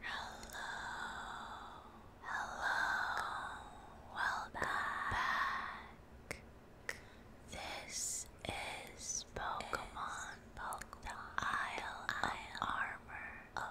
Hello, hello, welcome back. This is Pokemon, Isle of Armor,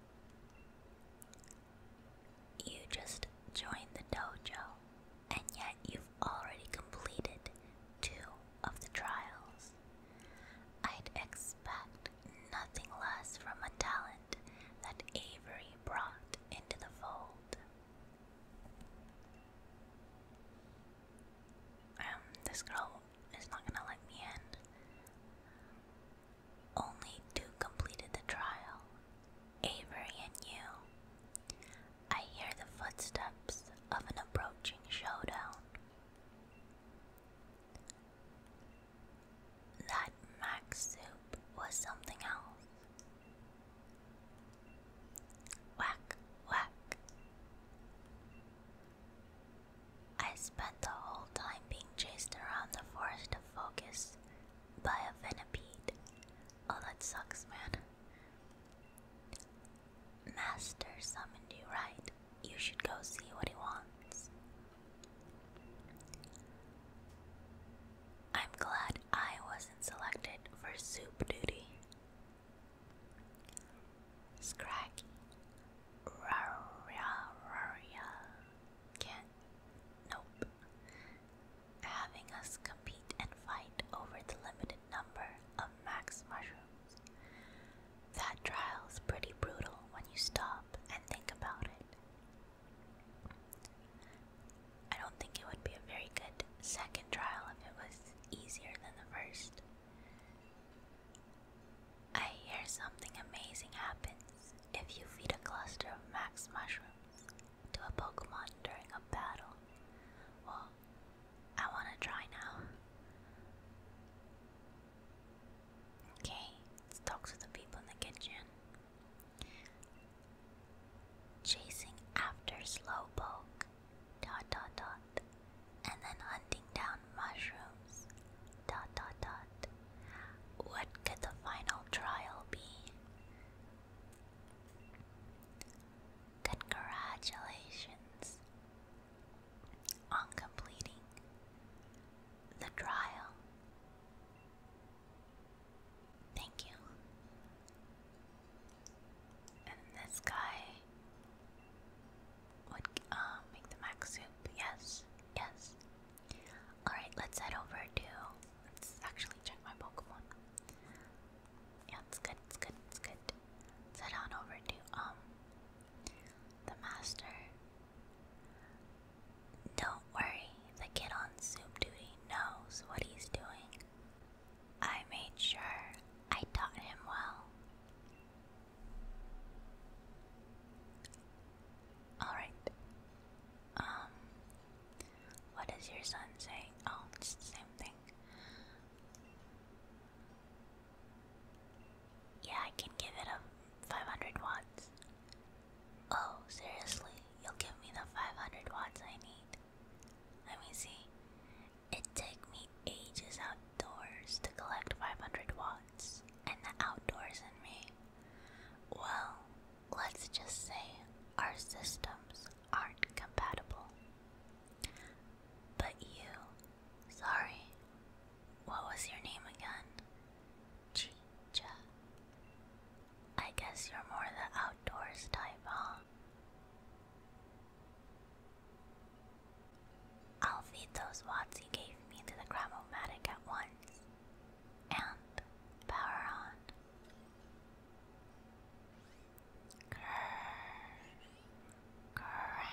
You just joined the dojo, and yet you've already completed two of the trials. I'd expect nothing less from a talent that Avery brought into the fold. Um, this girl is not gonna let me in. Only two completed the trial Avery and you. I hear the footsteps of an approaching showdown. That mac soup was something else. Whack, whack. I spent the whole time being chased around the forest of focus by a venipede. Oh, that sucks, man. Master summoned you, right? You should go see what he wants. I'm glad I wasn't selected for soup duty. Scraggy, can nope. Having us compete and fight over the limited number of max mushrooms. That trial's pretty brutal when you stop and think about it. I don't think it would be a very good second trial if it was easier than the first. I hear something amazing happens if you feed a cluster of max mushrooms to a Pokemon during a battle. Well, I want to try now. Okay, let's talk to the people in the kitchen. Chasing after Slowpoke, dot dot dot, and then hunting down mushrooms. Dot dot dot. What could the final trial be? Congratulations on completing the trial. Thank you. And this guy would uh, make the mac soup. Yes, yes. Alright, let's head over to. Let's actually check my Pokemon. Yeah, it's good, it's good, it's good. Let's head on over to, um, the master. Don't worry, the kid on soup duty knows what he's doing. I made sure I taught him well. Alright. Um what does your son say? Oh, it's the same thing. Yeah, I can give it a 500 watts. Oh, seriously? You'll give me the 500 watts I need. Let me see. It takes me ages outdoors to collect 500 watts, and the outdoors in me. Well, let's just say our systems aren't compatible. But you, sorry, what was your name again? Chicha. I guess you're more the outdoors type, huh? I'll feed those watts he gave me to the Gramomatic at once. And power on. Grrr. Grrr.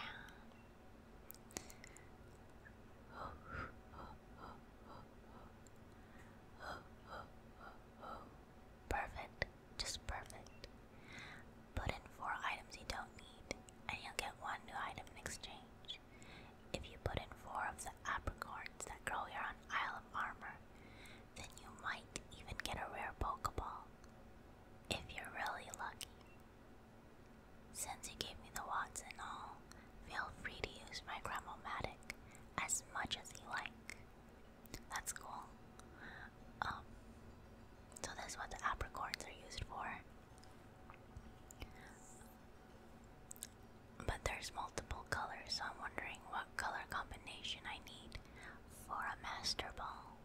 Perfect, just perfect. Put in four items you don't need, and you'll get one new item in exchange damage. If you put in four of the apricorns that grow here on Isle of Armor, then you might even get a rare Pokeball. If you're really lucky. Since you gave me the Watts and all, feel free to use my Gramomatic as much as you like. That's cool. Um, so, this is what the apricorns are used for. But there's multiple colors, I'm wondering what color combination I need for a master ball.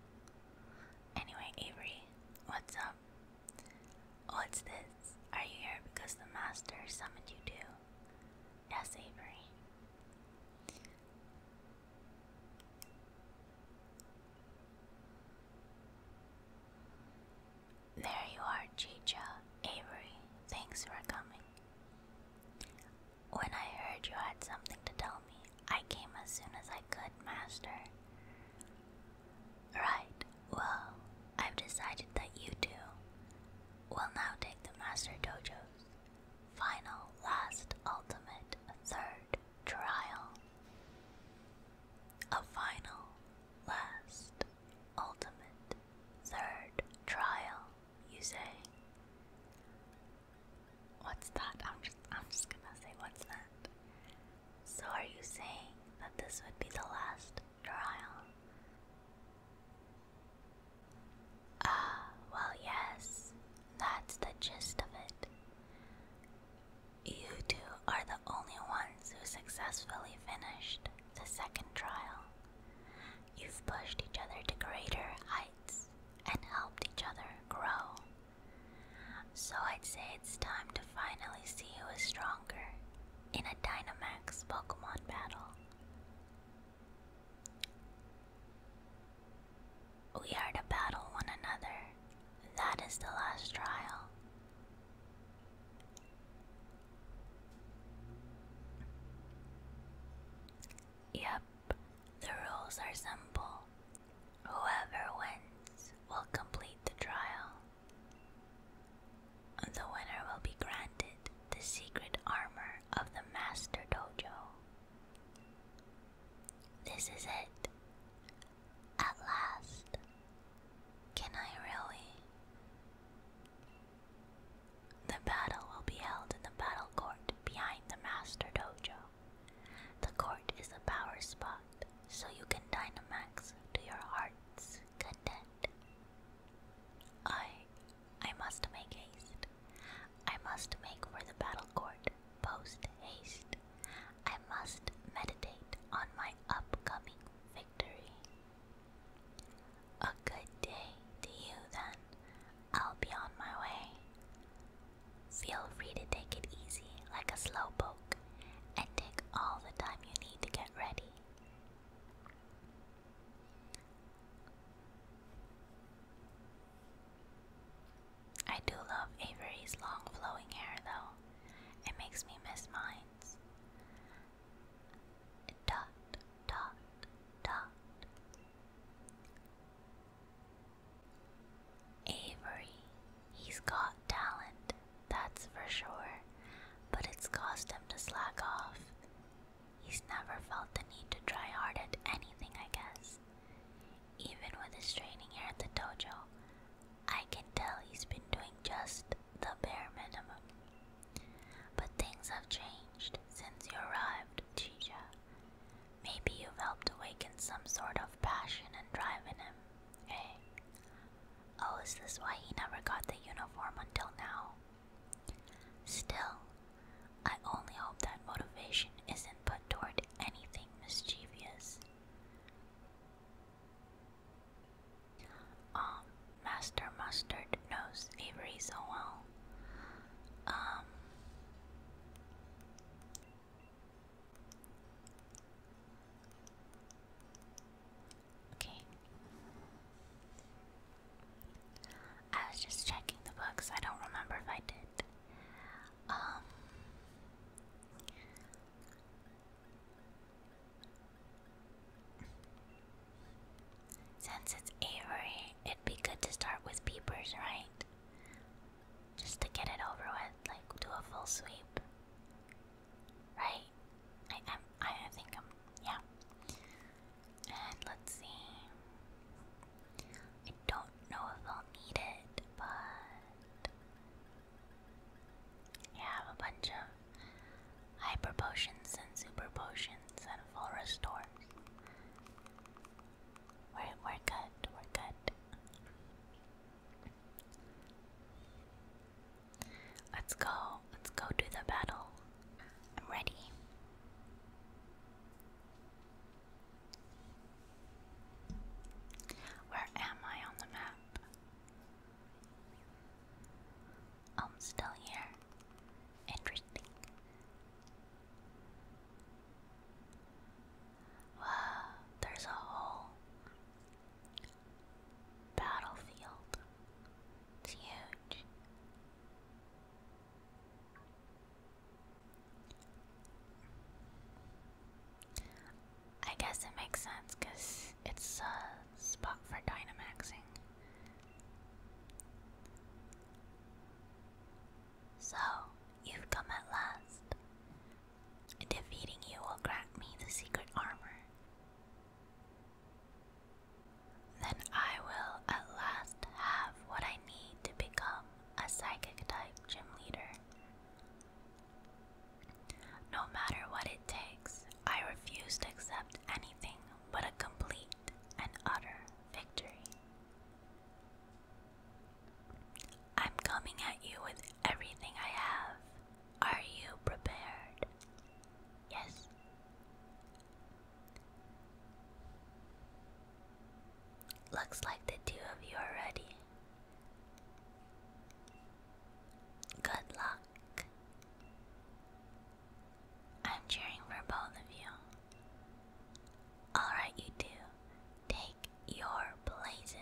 Anyway, Avery, what's up? What's this? Are you here because the master summoned you to? Yes, Avery. There you are, Chicha, Avery. Thanks for coming. When I heard you had something to tell me, I came as soon as I could, Master. Right, well, I've decided that you two will now take the Master Dojo's final, last, ultimate, third trial. A final, last, ultimate, third trial, you say? What's that? I'm just, I'm just gonna say, what's that? So, are you saying that this would be the last trial? Ah, well, yes, that's the gist of it. You two are the only ones who successfully finished the second trial. You've pushed each other to greater heights and helped each other grow. So I'd say it's time to finally see who is stronger in a Dynamax Pokemon battle. We are to battle one another. That is the last trial. Yep, the rules are simple. Whoever wins will complete the trial. The winner will be granted the secret armor of the Master Dojo. This is it. At last, can I really? The battle will be held in the battle court behind the Master Dojo. The court is a power spot, so you can Dynamax to your heart's content. I. I must make haste. I must make for the battle court post haste. I must meditate on my upcoming victory. A good day to you, then. I'll be on my way. Feel free to take it easy like a slowpoke and take all the time you need to get ready. I do love Avery's long flowing hair though. It makes me miss mine dot dot dot Avery, he's got talent, that's for sure, but it's caused him to slack off. He's never felt the need to try hard at anything, I guess. Even with his training here at the dojo, I can tell he's been doing just the bare minimum. But things have changed since you arrived, Chicha. Maybe you've helped awaken some sort of passion and drive in him, eh? Oh, is this why he never got the uniform until now? Still, I only hope that motivation isn't put toward anything mischievous. Um, Master Mustard knows Avery so well. Um, okay. I was just checking the books. I don't remember if I did. Um, since it's Avery, it'd be good to start with peepers, right? Just to get it over with, like do a full sweep. Right? I am I, I think I'm yeah. And let's see. I don't know if I'll need it, but I have a bunch of hyper potions and super potions and full restores. We're, we're good, we're good. Let's go, let's go do the battle. I'm ready. Where am I on the map? I'm still here. Interesting. Wow, there's a whole battlefield. It's huge. I guess it makes sense because it's a spot for Dynamaxing. So, you've come at last. Defeating you will grant me the secret armor. Then I will at last have what I need to become a psychic type gym leader. No matter what it takes, I refuse to accept anything but a complete and utter victory. I'm coming at you with everything I have. Are you prepared? Yes. Looks like the two of you are ready. Good luck. I'm cheering for both of you. Alright, you two, take your places.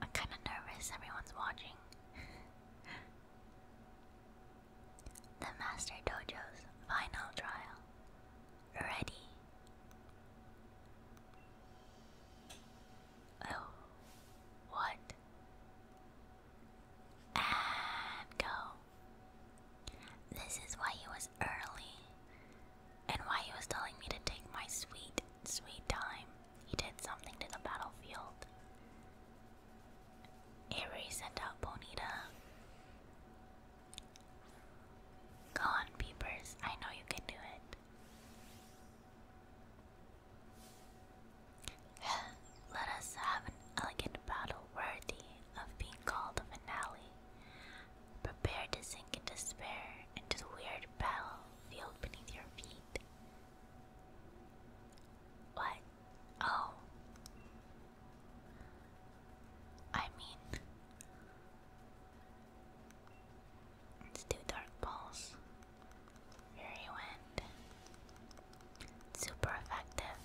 I'm kind of nervous, everyone's watching. the Master Dojo's final trial ready. Oh, what? And go. This is why he was early, and why he was telling me to take my sweet, sweet time. He did something to the battlefield. Avery sent out Bonita. Go on, peepers. I know you can do it. Let us have an elegant battle worthy of being called a finale. Prepare to sink in despair into the weird battlefield beneath your feet. What? Oh. I mean, Let's do Dark Pulse. Fury Super effective.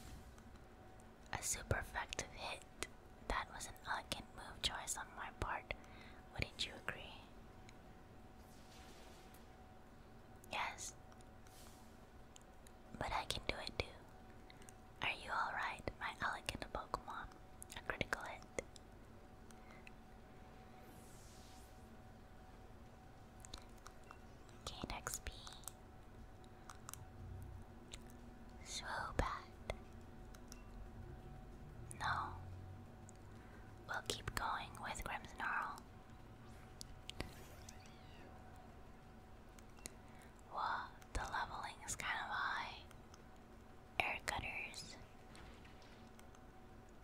A super effective hit. That was an elegant move choice on my part. Wouldn't you agree? Yes. But I can do it too. Are you alright, my elegant Pokemon? A critical hit. Gain XP. So bad. No. We'll keep going with Grimmsnarl. Whoa, the leveling is kind of high air cutters.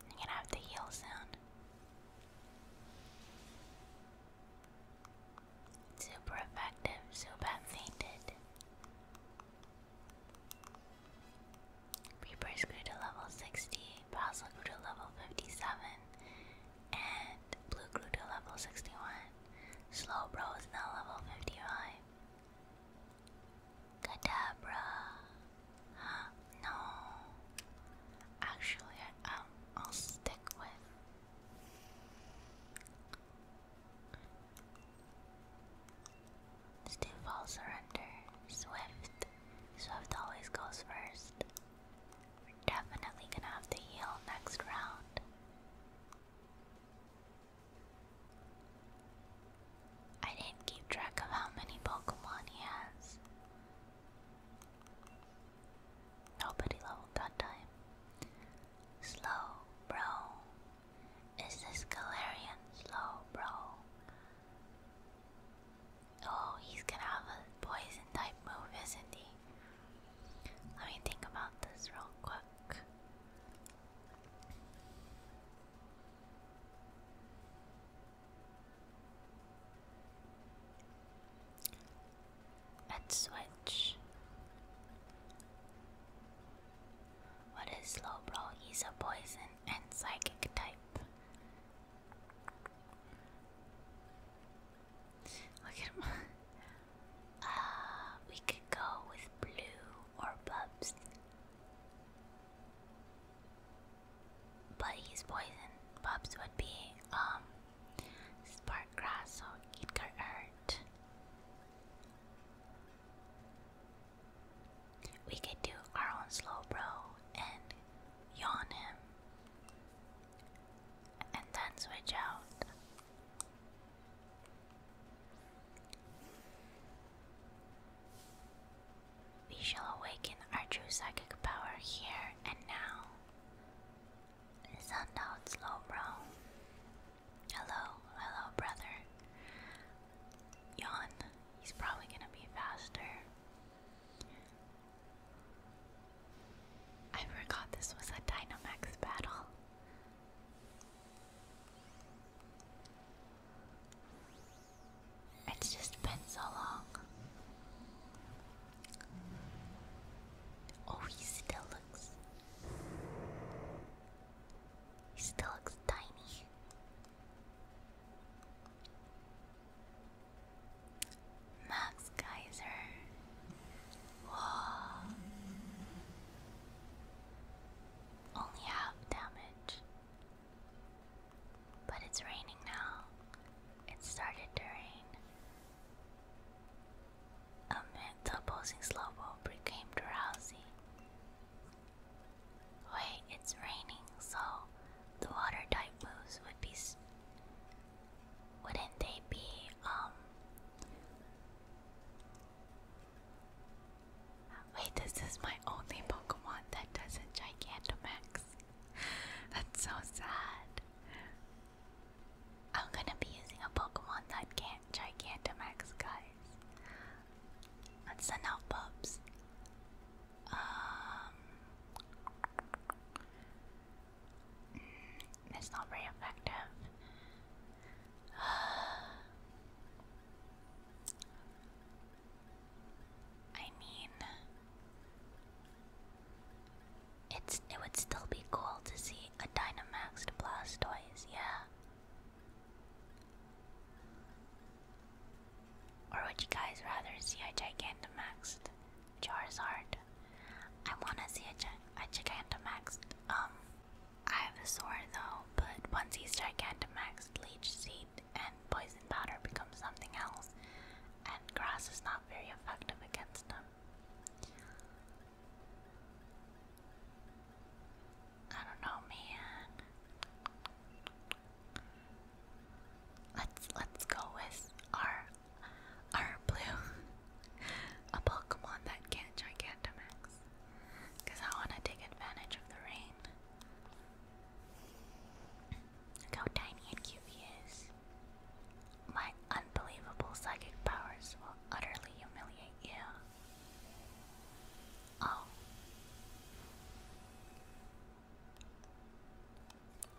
I'm gonna have the heal sound. Super effective, Super Zubat fainted. Reapers grew to level 60, Basil grew to level 57, and Blue grew to level 61. Slowbro is now level 55. Kadabra. no. Actually, um, I'll stick with. Stiffall surrender. Swift. Swift always goes 1st definitely gonna have to heal next round. I didn't keep track of how many Pokemon he has. Nobody leveled that time. Slow, bro. Is this Galarian slow, bro? Oh, he's gonna have a poison type move, isn't he? Let me think about this real quick. Let's switch. What is Lobro? He's a poison and psychic type. Look at him. Uh, we could go with blue or Bubs. But he's poison. Bubs would be um spark grass, so it could hurt. We could do our own slow bro and yawn him. And then switch out. We shall awaken our true psychic power here and now. Sundowns, low bro. Hello, hello, brother. Yawn. He's probably gonna be faster. I forgot this was a Dynamax battle. It's just been so long. Oh, he still looks. He still looks tiny. Max Geyser. Whoa only half damage. But it's raining now. It started to rain. the opposing slowpoke became drowsy. Wait, it's raining, so the water type moves would be. Wouldn't they be, um. Wait, this is my only Pokemon that doesn't Gigantamax. That's so sad. I'm gonna be using a Pokemon that can't Gigantamax, guys. Let's send out pups. Um, mm, it's not very effective. I mean, it's it would still be cool to see a Dynamaxed Blastoise, yeah. Or would you guys rather see a Gigantamaxed Charizard? I wanna see a Gigantamaxed um I have a sword though, but once he's Gigantamax, Leech Seed and Poison Powder become something else, and Grass is not very effective against him. I don't know, man. Let's let's go with our our blue, a Pokemon that can Gigantamax. Because I want to take advantage of the rain. Look how tiny and cute he is. My unbelievable psychic powers will utterly humiliate you. Oh.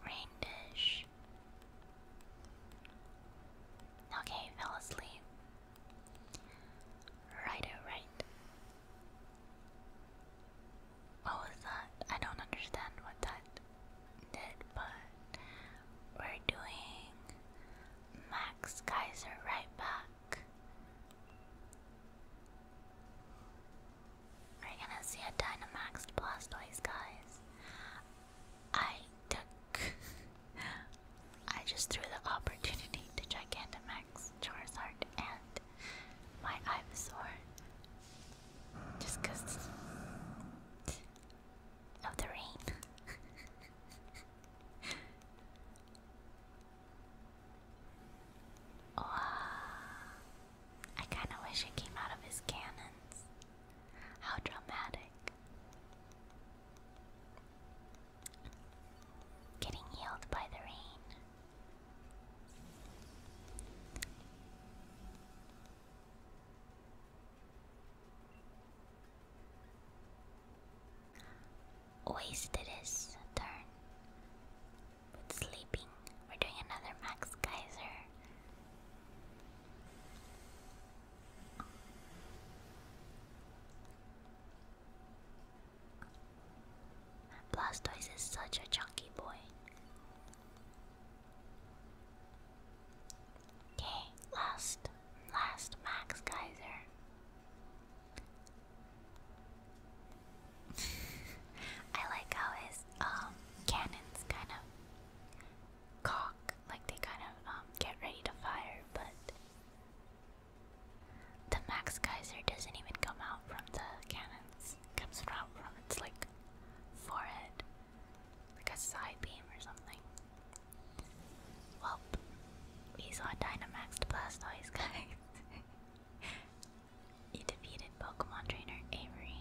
Rain Okay, fell asleep. Right, alright. Oh, what was that? I don't understand what that did, but we're doing Max Kaiser right back. We're gonna see a Dynamaxed Blastoise, guys. I took I just threw the opportunity to Gigantamax, Charizard, and my Ivysaur. Just of the rain. I kind of wish it came out of his cannons. How dramatic. Getting healed by the rain. Wasted turn with sleeping. We're doing another Max Geyser. Blastoise is such a chunky boy. Okay, last, last Max Geyser. I like how his um cannons kind of cock, like they kind of um get ready to fire, but the Max Geyser doesn't even come out from the cannons. It comes out from its like forehead. Like a side beam or something. Well, we saw Dynamax to Blastoise, guys. He defeated Pokemon Trainer Avery.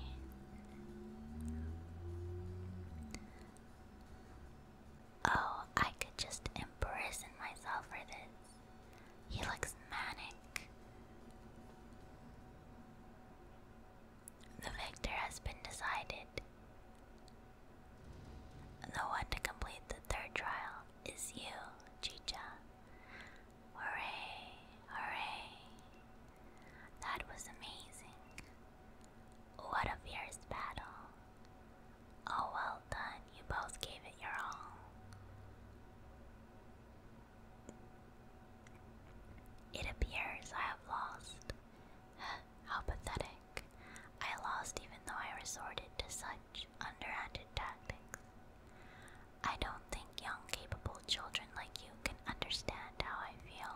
Oh, I could just imprison myself for this. He looks manic. The victor has been decided. The one to complete the third trial is you, Chicha. Hooray, hooray. That was amazing. What a fierce battle. Oh, well done. You both gave it your all. It appears I have lost. How pathetic. I lost even though I resorted to such underhanded tactics. I don't think young, capable children like you can understand how I feel.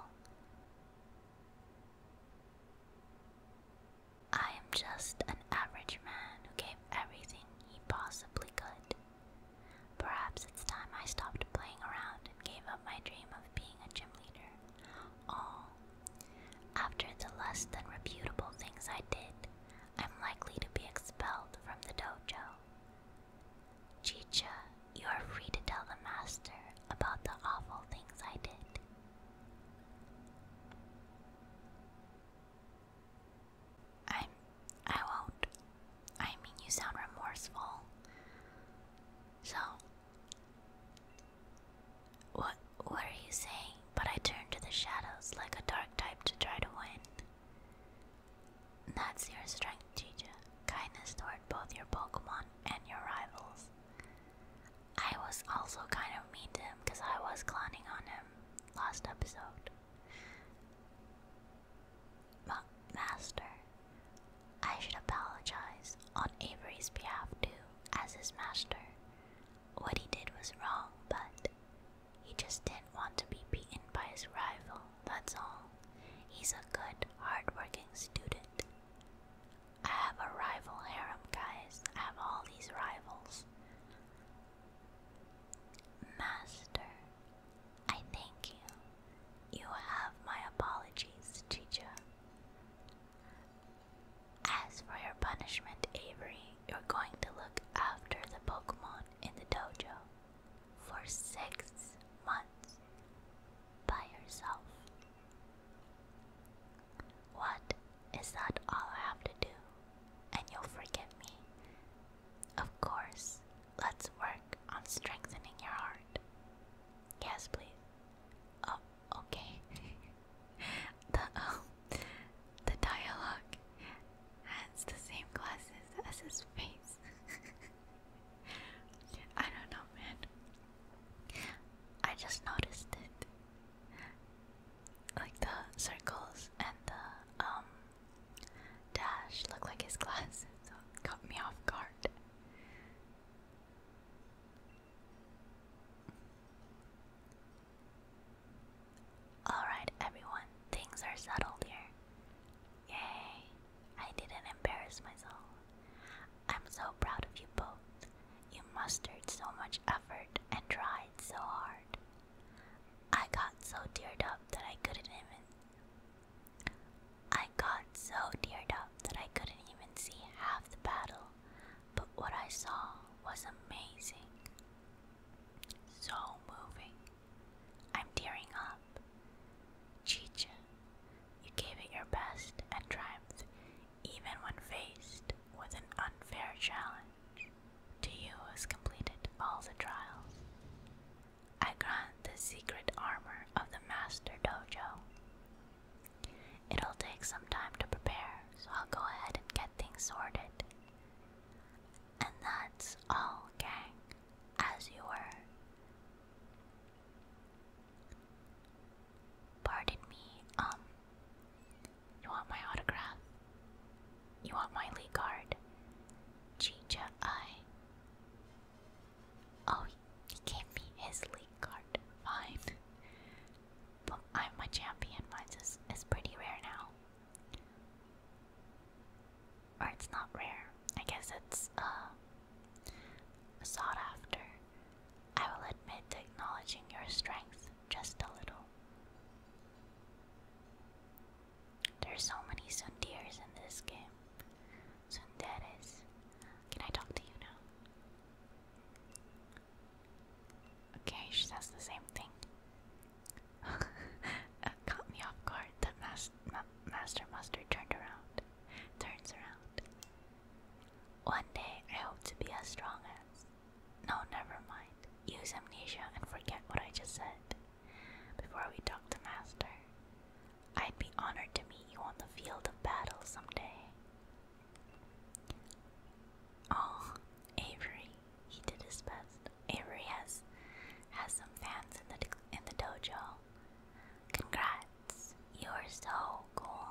I am just an average man who gave everything he possibly could. Perhaps it's time I stopped playing around and gave up my dream of being a gym leader. All. After the less than reputable things I did, I'm likely to be expelled from the dojo. Chicha, you are free to tell the master about the awful things I did. I'm. I won't. I mean, you sound remorseful. So. What, what are you saying? But I turn to the shadows like a dark type to try to win. That's your strength, Chicha. Kindness toward both your Pokemon and your rivals. I was also kind of mean to him because I was clowning on him last episode. Master, I should apologize on Avery's behalf too, as his master. What he did was wrong, but he just didn't want to be beaten by his rival, that's all. He's a good, hardworking student. I have a rival harem, guys. I have all these rivals. Master, I thank you. You have my apologies, Chicha. As for your punishment, Avery, you're going to look after the Pokemon in the dojo for six months by yourself. What? Is that all I have to do? And you'll forget me? Of course. Let's work on strengthening your heart. Yes, please. Oh, okay. the um, the dialogue has the same glasses as his face. I don't know, man. I just noticed it like the circles and the um dash look like his glasses, caught me off guard. Alright, everyone, things are settled here. Yay! I didn't embarrass myself. I'm so proud of you both. You mustered so much effort and tried so hard. I got so teared up that I couldn't even. I got so teared up that I couldn't even see half the battle, but what I saw was amazing. So moving. I'm tearing up. Chicha, you gave it your best and triumphed even when faced with an unfair challenge to you has completed all the trials. I grant the secret armor of the Master Dojo. It'll take some time to prepare, so I'll go ahead and get things sorted. And that's all, gang, as you were. Pardon me, um, you want my autograph? You want my league card? Chicha, I. Oh, he gave me his league card. Fine. But I'm a champion. Mine is, is pretty rare now. Or it's not rare. I guess it's, uh, sought after. I will admit to acknowledging your strength just a little. There's so many Sundirs in this game. Sunderes. Can I talk to you now? Okay, she says the same thing. uh, caught me off guard. The master mustard turned around. Turns around. One day I hope to be as strong as. No, never mind. Use amnesia and forget what I just said. Before we talk to Master, I'd be honored to meet you on the field of battle someday. Oh, Avery, he did his best. Avery has has some fans in the in the dojo. Congrats, you are so cool.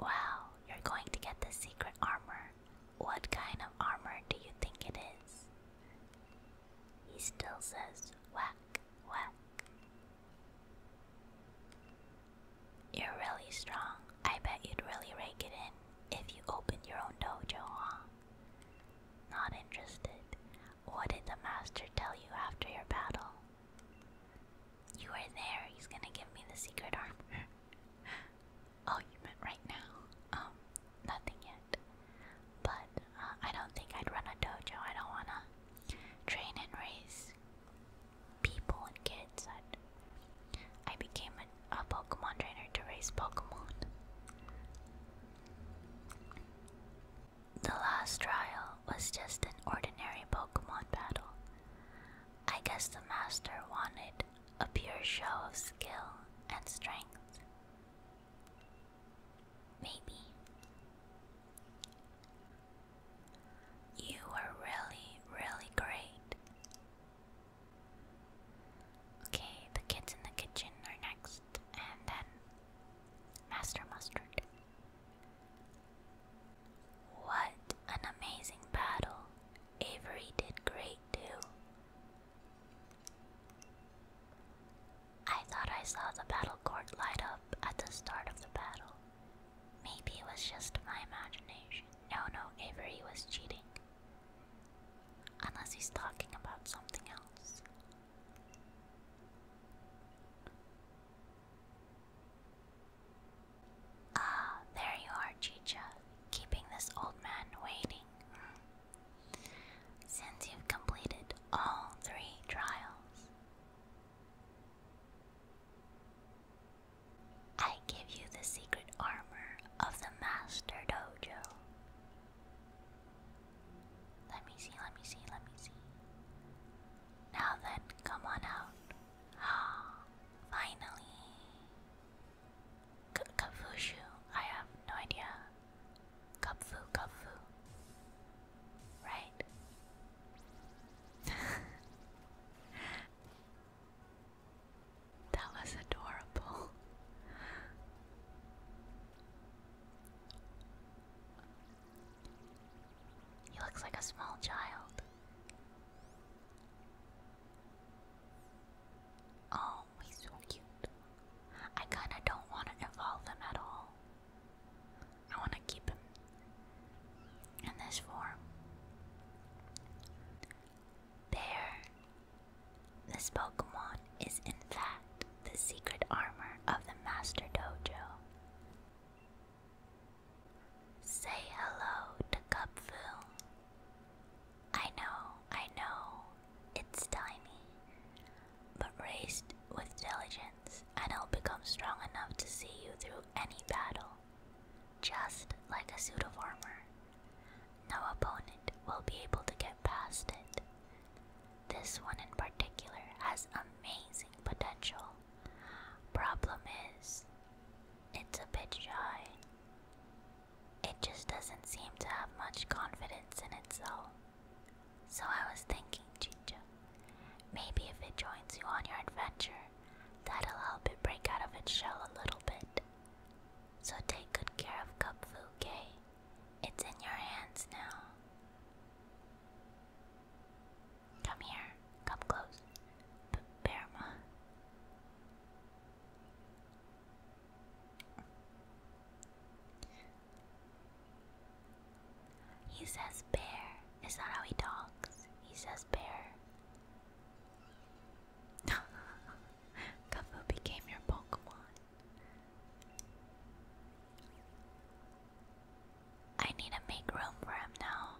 Wow, you're going to get the secret armor. What kind of armor do you think it is? He still says, whack, whack. You're really strong. I bet you'd really rake it in if you opened your own dojo, huh? Not interested. What did the master tell you after your battle? You are there. He's gonna give me the secret armor. oh, you meant right now. Um, nothing yet. But uh, I don't think I'd run a dojo. I don't wanna train and raise people and kids. I became a, a Pokemon trainer to raise Pokemon. The last trial was just an ordinary Pokemon battle. I guess the master wanted a pure show of skill and strength. Maybe. You were really, really great. Okay, the kids in the kitchen are next, and then Master Mustard. What an amazing battle! Avery did great too. I thought I saw the battle court light up at the start of the battle. Maybe it was just my imagination. No, no, Avery was cheating. Unless he's talking about something else. Ah, there you are, Chicha, keeping this old man waiting. Since you've completed all three trials, I give you the secret armor of the Master Dojo. Let me see, let me see, let me see. Now then, come on out. Finally! K I have no idea. Kapfu, Kapfu. Right? that was adorable. He looks like a small child. Oh, he's so cute. I kinda don't want to evolve him at all. I want to keep him in this form. Bear. This Pokemon is, in fact, the secret armor of the Master Dojo. Say hello to Cupfu. I know, I know, it's tiny, but raised with diligence, and it'll become strong enough to see you through any battle, just like a suit of armor. No opponent will be able to get past it. This one in particular has amazing potential. Problem is, it's a bit shy. It just doesn't seem to have much confidence in itself. So I was thinking, Chicha, maybe if it joins you on your adventure, that'll help it break out of its shell a little bit. So take good care of Cup Fu, It's in your hands now. Come here. Come close. B Burma. He says bear. Is that how he talks? He says bear. Kafu became your Pokemon. I need to make room for him now.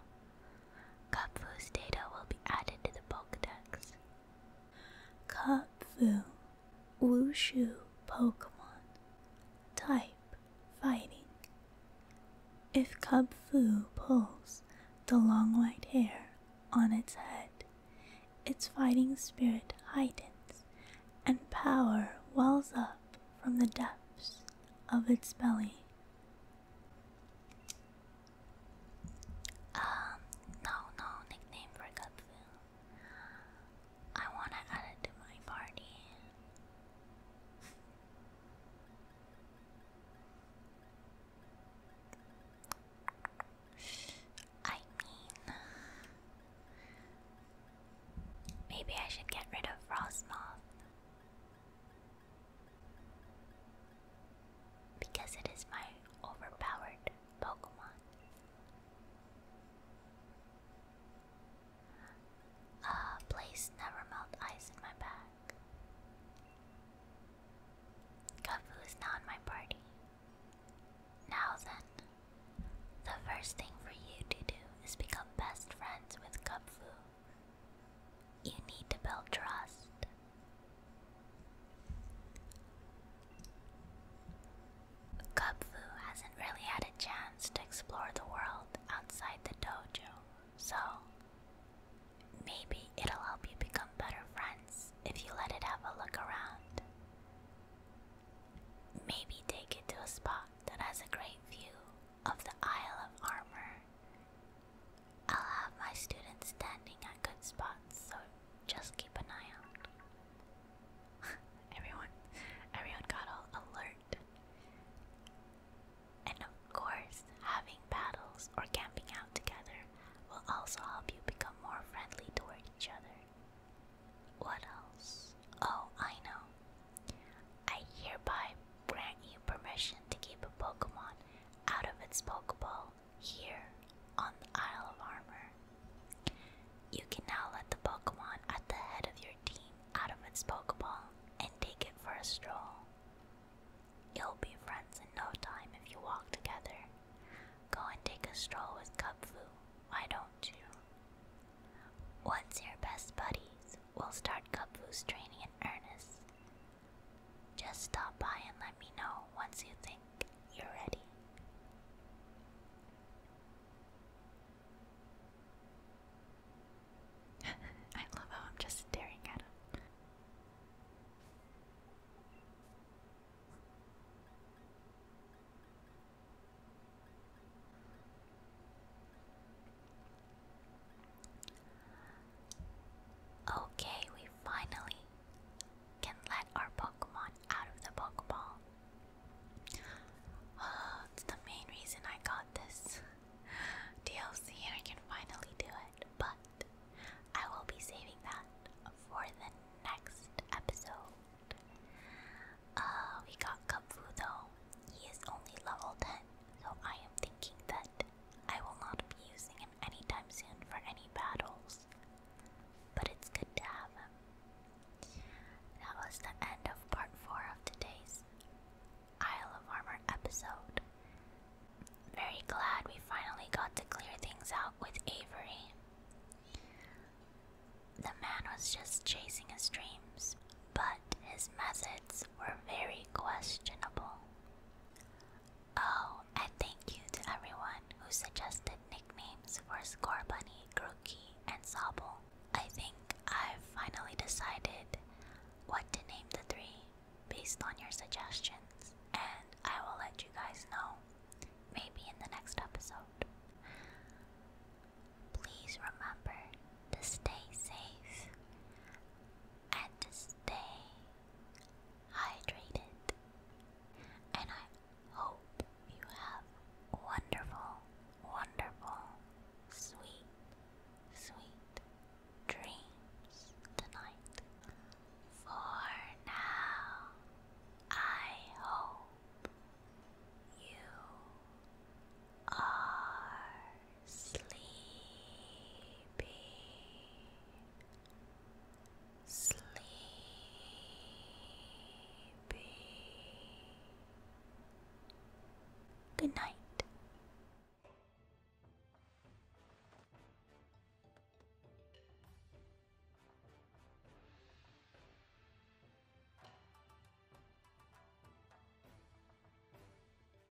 Kupfu's data will be added to the Pokedex. Kupfu, Wushu Pokemon. Type Fighting. If Kupfu pulls the long white hair on its head, its fighting spirit heightens and power wells up from the depths of its belly. Um, no, no nickname for Katsu. I wanna add it to my party. I mean, maybe I should get rid of Frostmoth. Because it is my overpowered Pokemon. Uh, place never melt ice in my back. Kafu is now in my party. Now then, the first thing for you to do is become best friends with Kafu. You need to build trust. Kubfu hasn't really had a chance to explore the world outside the dojo, so maybe it'll help you become better friends if you let it have a look around. Maybe take it to a spot that has a great view of the Isle of Armor I'll have my students standing at good spots, so just keep an eye out. everyone, everyone got all alert. And of course, having battles or camping out together will also help you become more friendly toward each other. What else? Oh, I know. I hereby grant you permission to keep a Pokemon out of its Pokeball here on the Isle of Armor. You can now let the Pokemon at the head of your team out of its Pokeball and take it for a stroll. You'll be friends in no time if you walk together. Go and take a stroll with Cubfu, why don't you? Once your best buddies, we'll start Cubfu's training in earnest. Just stop by and let me know once you think you're ready. I love how I'm just staring at him. Okay, we finally can let our Pokemon out of the Pokeball. it's the main reason I got this DLC and I can finally do it, but I will be saving that for the next episode. Uh, we got Kapfu though. He is only level 10, so I am thinking that I will not be using him anytime soon for any battles, but it's good to have him. That was the end of part 4 of today's Isle of Armor episode. Very glad we finally got to clear things out with Avery. The man was just chasing his dreams, but his methods were very questionable. Oh, and thank you to everyone who suggested nicknames for Score Bunny, Grookey, and Sobble. I think I've finally decided what to name the three based on your suggestions, and I will let you guys know maybe in the next episode. Please remember to stay safe and to stay hydrated. And I hope you have wonderful, wonderful, sweet, sweet dreams tonight. For now, I hope you are sleepy, sleepy. Good night.